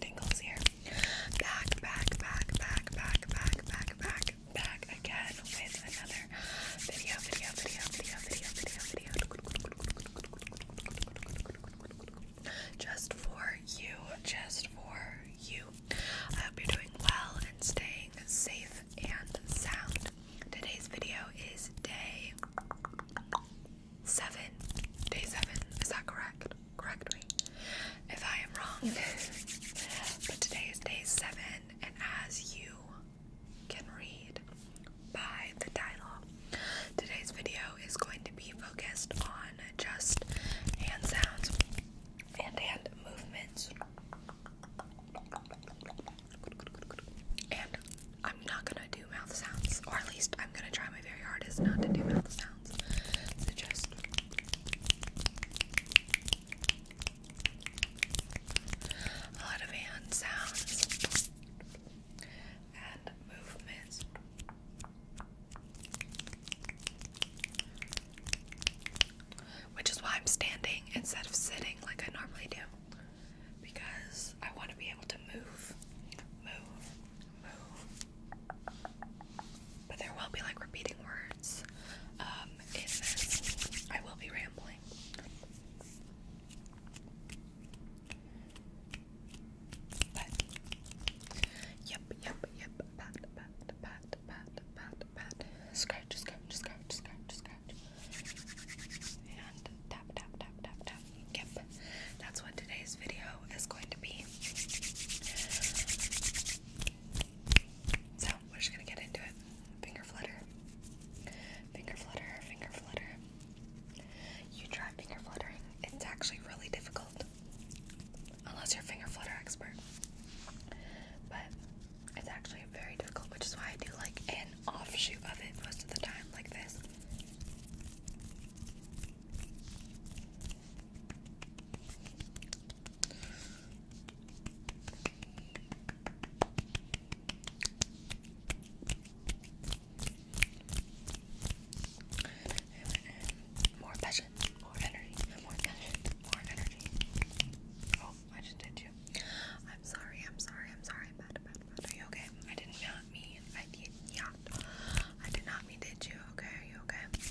Tingles here. Back, back, back, back, back, back, back, back, back again another video, video, video, video, video, video, video. Just for you, just for you. I hope you're doing well and staying safe and sound. Today's video is day seven. Day seven, is that correct? Correct me if I am wrong. but today is day seven, and as you can read by the title, today's video is going to be focused on just hand sounds and hand movements. And I'm not gonna do mouth sounds, or at least I'm gonna try my very hardest not to do mouth sounds. just a lot of hand sounds and movements. Which is why I'm standing instead of sitting like I normally do. Because I want to be able to move, move, move. But there will be like repeating words um, in this. I will be rambling. But, yep, yep, yep, pat, pat, pat pat, pat, pat, pat, scratch, scratch, scratch, scratch, scratch, and tap, tap, tap, tap, tap. Yep, that's what today's video is going to be. So we're just gonna get into it. Finger flutter, finger flutter, finger flutter. You try finger fluttering. It's actually really difficult unless you're finger flutter expert. But it's actually very difficult, which is why I do like an offshoot of it most of the time, like this. More more energy, more passion, more energy. Oh, I just did you. I'm sorry, I'm sorry, I'm sorry. Bad, bad, bad. Are you okay? I did not mean, I did not. I did not mean, did you? Okay, are you okay? Okay,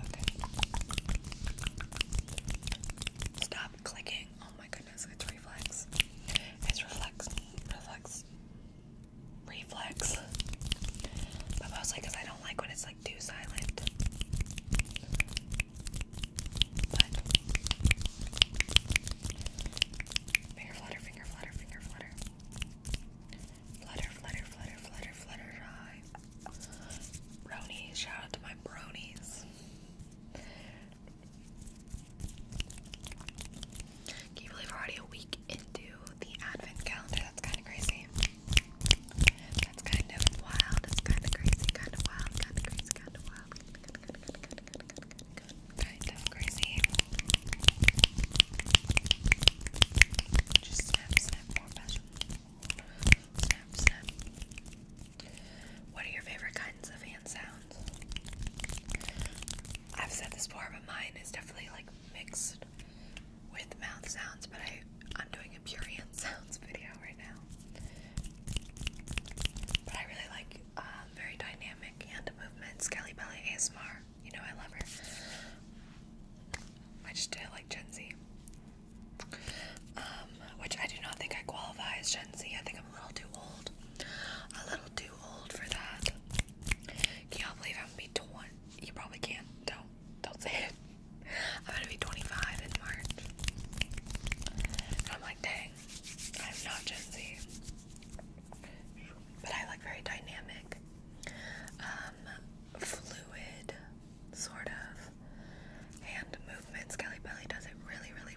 okay. Stop clicking. Oh my goodness it's reflex. It's reflex, reflex, reflex. But mostly because I don't like when it's like too silent. But finger flutter, finger flutter, finger flutter. Flutter, flutter, flutter, flutter, flutter, Bronies, shout out to my bronies. Can you believe we're already a week into the advent calendar? That's kind of crazy. That's kind of wild. It's kind of crazy. Kind of wild. Kind of crazy. Kind of wild. Kind of crazy. Just snap, snap, more passion. Snap, snap. What are your favorite kinds of hand sounds? I've said this before, but mine is definitely like mixed with mouth sounds, but I, I'm doing a pure hand sounds video right now. But I really like um, very dynamic hand movements. Kelly Belly ASMR, you know I love her. I just did it like Gen Z, um, which I do not think I qualify as Gen Z. I think I'm a little too old. A little too old for that. Can y'all believe I'm gonna be 20? You probably can't. Don't. Don't say it. I'm gonna be 25 in March. And I'm like, dang, I'm not Gen Z. But I like very dynamic, um, fluid, sort of hand movements. Kelly Belly does it really, really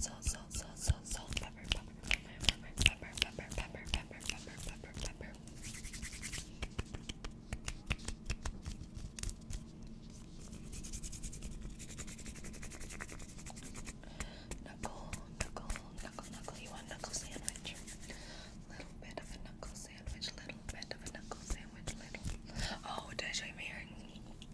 salt, salt, salt, salt, salt, salt, pepper, pepper, pepper, pepper, pepper, pepper, pepper, pepper, pepper, pepper. Knuckle, knuckle, knuckle, knuckle. You want knuckle sandwich? Little bit of a knuckle sandwich, little bit of a knuckle sandwich, little. Oh, did I show you my earrings?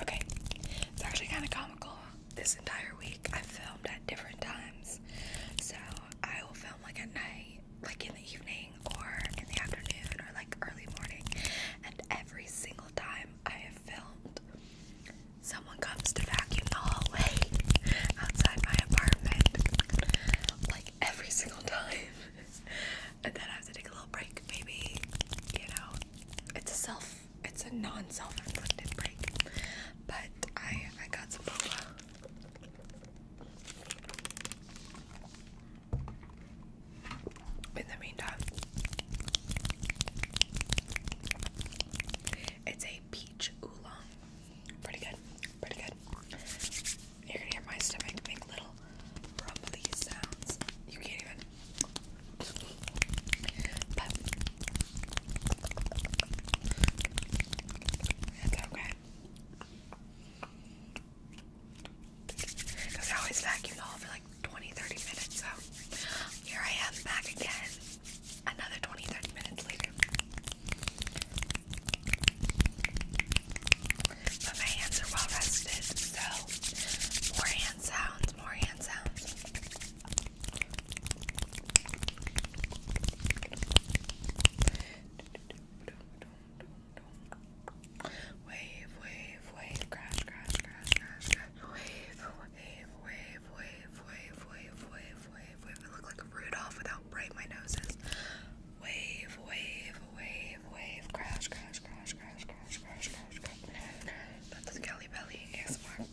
Okay, it's actually kind of comical. This entire week I filmed at different times. So I will film like at night, like in the evening, or in the afternoon, or like early morning. And every single time I have filmed, someone comes to vacuum the hallway outside my apartment. Like every single time. and then I have to take a little break, maybe, you know. It's a self it's a non-self-inflicted break, but I I got some boba. In the meantime, it's a peach oolong. Pretty good, pretty good. You're gonna hear my stomach make little rumbly sounds. You can't even but it's okay. Because I always vacuum all for like 20 minutes, so here I am back again. Another 20 minutes later. But my hands are well rested, so more hand sounds, more hand sounds. Wave, wave, wave, crash, crash, crash, crash, crash. Wave, wave, wave, wave, wave, wave, wave, wave, look like Rudolph with bright my nose Wave, wave, wave, wave, crash, crash, crash, crash, crash, crash. But the Belly ASMR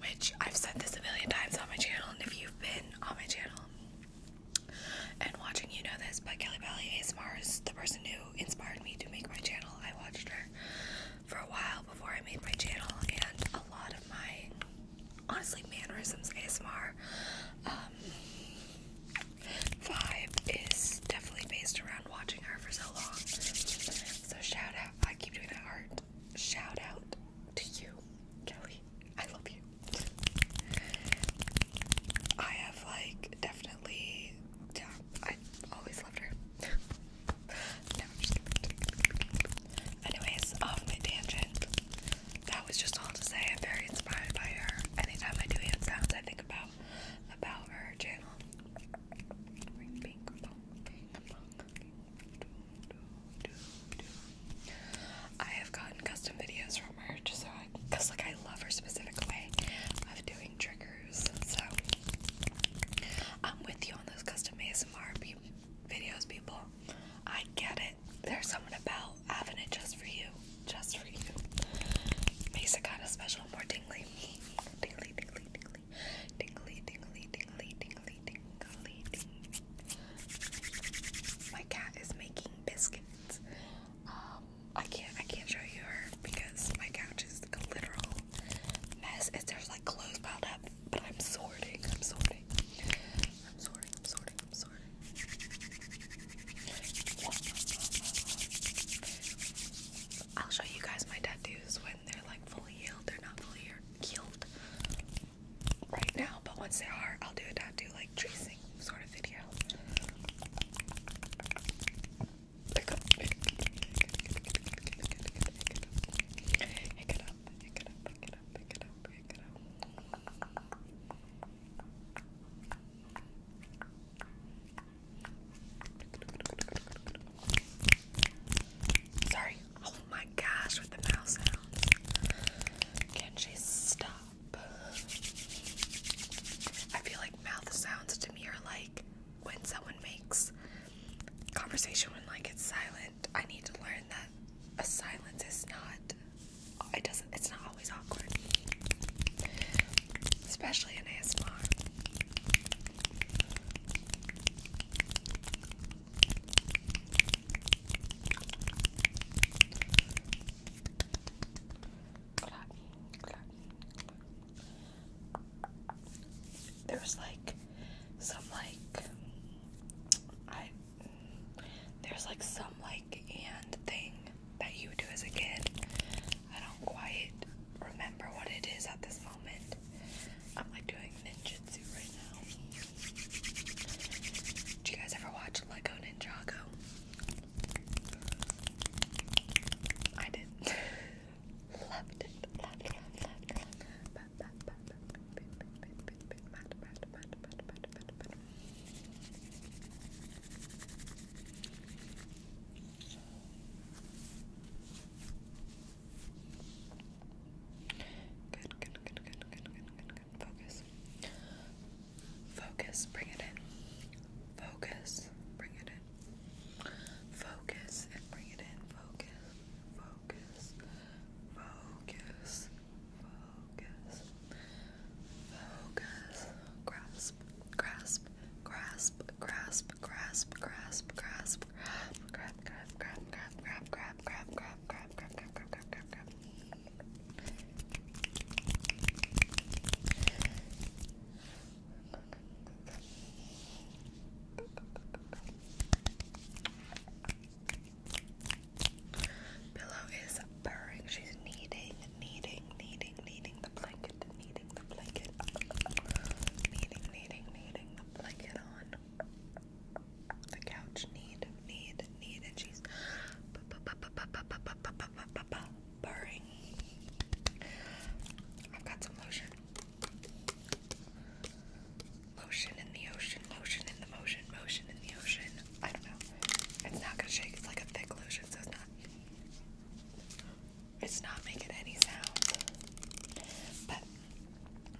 which I've said this a million times on my channel, and if you've been on my channel and watching, you know this. But Kelly Belly ASMR is the person who inspired me to make my channel. I watched her for a while before I made my channel, and a lot of my honestly mannerisms ASMR. Um, Five is definitely based around watching her for so long. So shout out, I keep doing that art. Shout out to you, Kelly. I love you. I have like definitely, yeah, I always loved her. Anyways, off my tangent. That was just all to say. I'm very inspired by her. Anytime I do hand sounds, I think about about her channel. I have gotten custom videos from her just cause like I love her specific way of doing triggers. So I'm with you on those custom ASMR videos, people. I get it. There's something about having it just for you. Just for you. Mesa got a special more tingly. Tingly, tingly, tingly. Tingly, tingly, tingly, tingly, tingly, My cat is making biscuits. Um, I can't I can't show you her because my couch is a literal mess. It's there's like clothes piled up, but I'm sorting. I'm sorting. I'm sorting. I'm sorting. I'm sorting. I'll show you guys my tattoos when they're like fully healed. They're not fully healed right now, but once they are, I'll do a tattoo like tracing sort of video. Pick up, pick up, pick it up, pick it up, pick it up, pick it up, pick it up. Sorry. Oh my gosh, with the mouse sounds. Can she stop? I feel like mouth sounds to me are like when someone makes conversation when like it's silent. I need to learn that a silence is not Oh, it doesn't it's not always awkward. Especially in ASMR. There like some like I there's like some like and thing that you do as a kid. I don't quite remember what it is at this moment. I'm like doing ninjutsu right now. Did you guys ever watch Lego Ninjago? I did. loved it. Loved, loved, loved, loved. Good, good, good, good, good, good, good, Focus. Focus, bring it in. Focus, bring it in. Focus and bring it in. Focus, focus, focus, focus, focus. Grab grasp, grasp, grasp, grasp, grasp, grasp, grasp, grab, grab, grab, grab, grab, grab, grab, grab, grab, grab, grab, grab, grab, grab, grab. Pillow is purring. She's kneading, kneading, kneading, kneading, the blanket, kneading the blanket, kneading, kneading, kneading the blanket on the couch. Need, need, need, and she's purring. I've got some lotion. Lotion in the ocean, motion in the motion, motion in the ocean. I don't know. It's not gonna shake. It's like a thick lotion, so it's not. It's not making any sound. But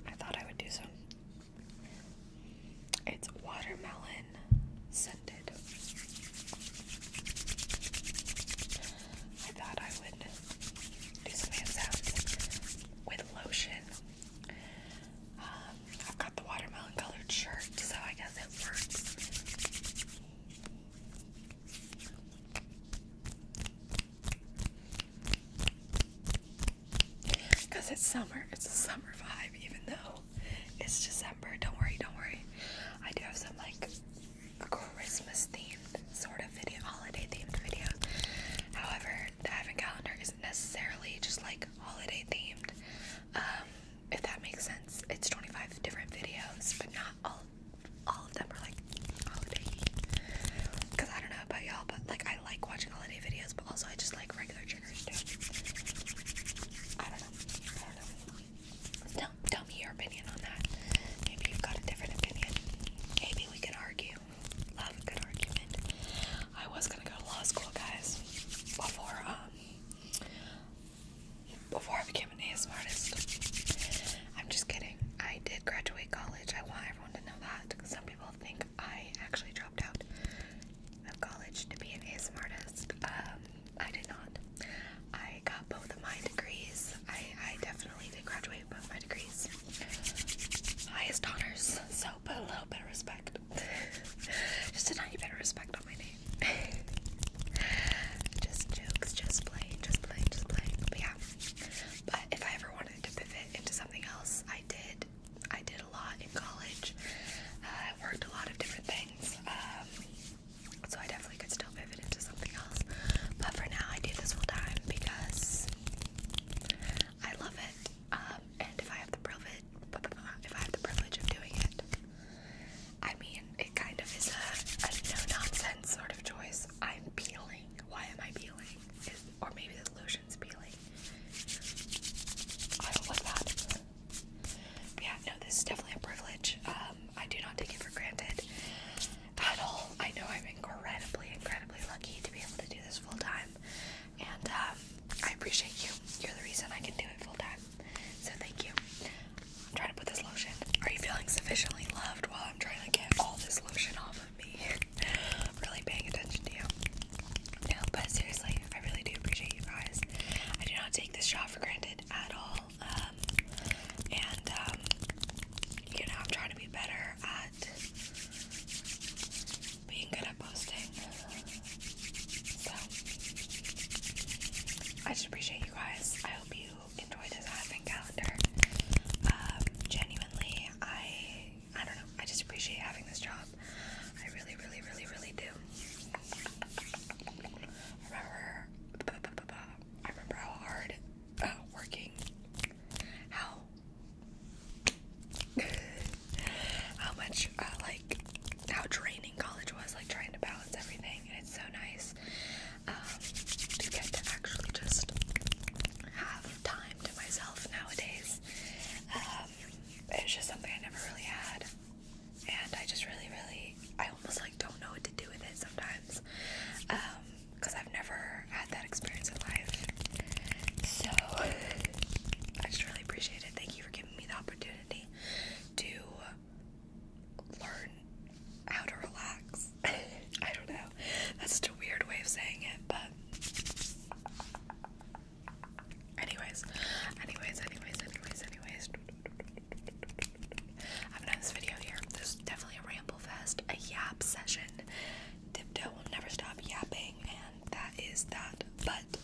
I thought I would do some. It's watermelon scented. I thought I would do some sounds with lotion. Um, I've got the watermelon colored shirt, so I guess it works. Because it's summer, it's a summer vibe, even though it's December. Don't worry, don't worry. I do have some like Christmas themed sort of video, holiday themed video. However, the advent calendar isn't necessarily just like holiday themed. Um, if that makes sense. It's 25 different videos, but not all all of them are like holiday because I don't know about y'all, but like I like watching holiday videos, but also I just like regular triggers too. I don't know. I your opinion on that. Maybe you've got a different opinion. Maybe we can argue. Love a good argument. I was gonna go to law school, guys, before um before I became an ASMR artist. I'm just kidding. I did graduate college. I want everyone to know that. Some people think I actually dropped out of college to be an ASMR artist. Um, I did not. I got both of my degrees. I, I definitely did graduate both my degrees. Highest honors, so put a little bit of respect just a tiny bit of respect on my name. just jokes, just playing, just playing, just playing. But if I ever wanted to pivot into something else, I did. I did a lot in college. Uh, I worked a lot of different things. Um, so I definitely could still pivot into something else. But for now, I do this full time because I love it. Um, and if I have the privilege if I have the privilege of doing it. I mean, it kind of is a, a no-nonsense sort of choice. I'm peeling. Why am I peeling? or maybe the lotion's peeling. I don't like that. yeah, no, this is definitely a privilege. Um, I do not take it for granted at all. I know I'm incredibly, incredibly lucky to be able to do this full time. And um, I appreciate you. You're the reason I can do it full time. So thank you. I'm trying to put this lotion. Are you feeling sufficiently loved while I'm trying to get all this lotion off of me? I'm really paying attention to you. No, but seriously, I really do appreciate you guys. I do not take this job for granted at all. Um, and, um, you know, I'm trying to be better at being good at posting I just appreciate you guys. I hope you enjoy this advent calendar. Um, genuinely, I I don't know. I just appreciate having this job. I really, really, really, really do. I remember, I remember how hard uh, working, how how much uh, like how draining college was, like trying to balance everything. And it's so nice um, to get to actually just have time to myself nowadays. Um, it's just something I never really had, and I just really, really, I almost like don't know what to do with it sometimes, because um, I've never had that experience in life. So I just really appreciate it. Thank you for giving me the opportunity to learn how to relax. I don't know. That's such a weird way of saying it, but anyways, anyways, anyways, anyways, anyways. I'm gonna end this video here. This is definitely a ramble fest, a yap session. Dipto will never stop yapping, and that is that. But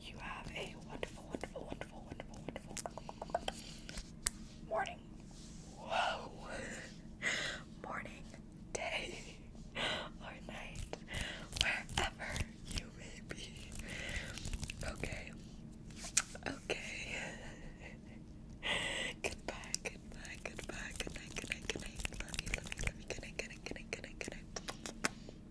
you have a wonderful, wonderful, wonderful, wonderful, wonderful morning. Whoa! morning, day, or night, wherever you may be. Okay. Okay. goodbye, goodbye, goodbye, good night, good night, good night. Love you, love you,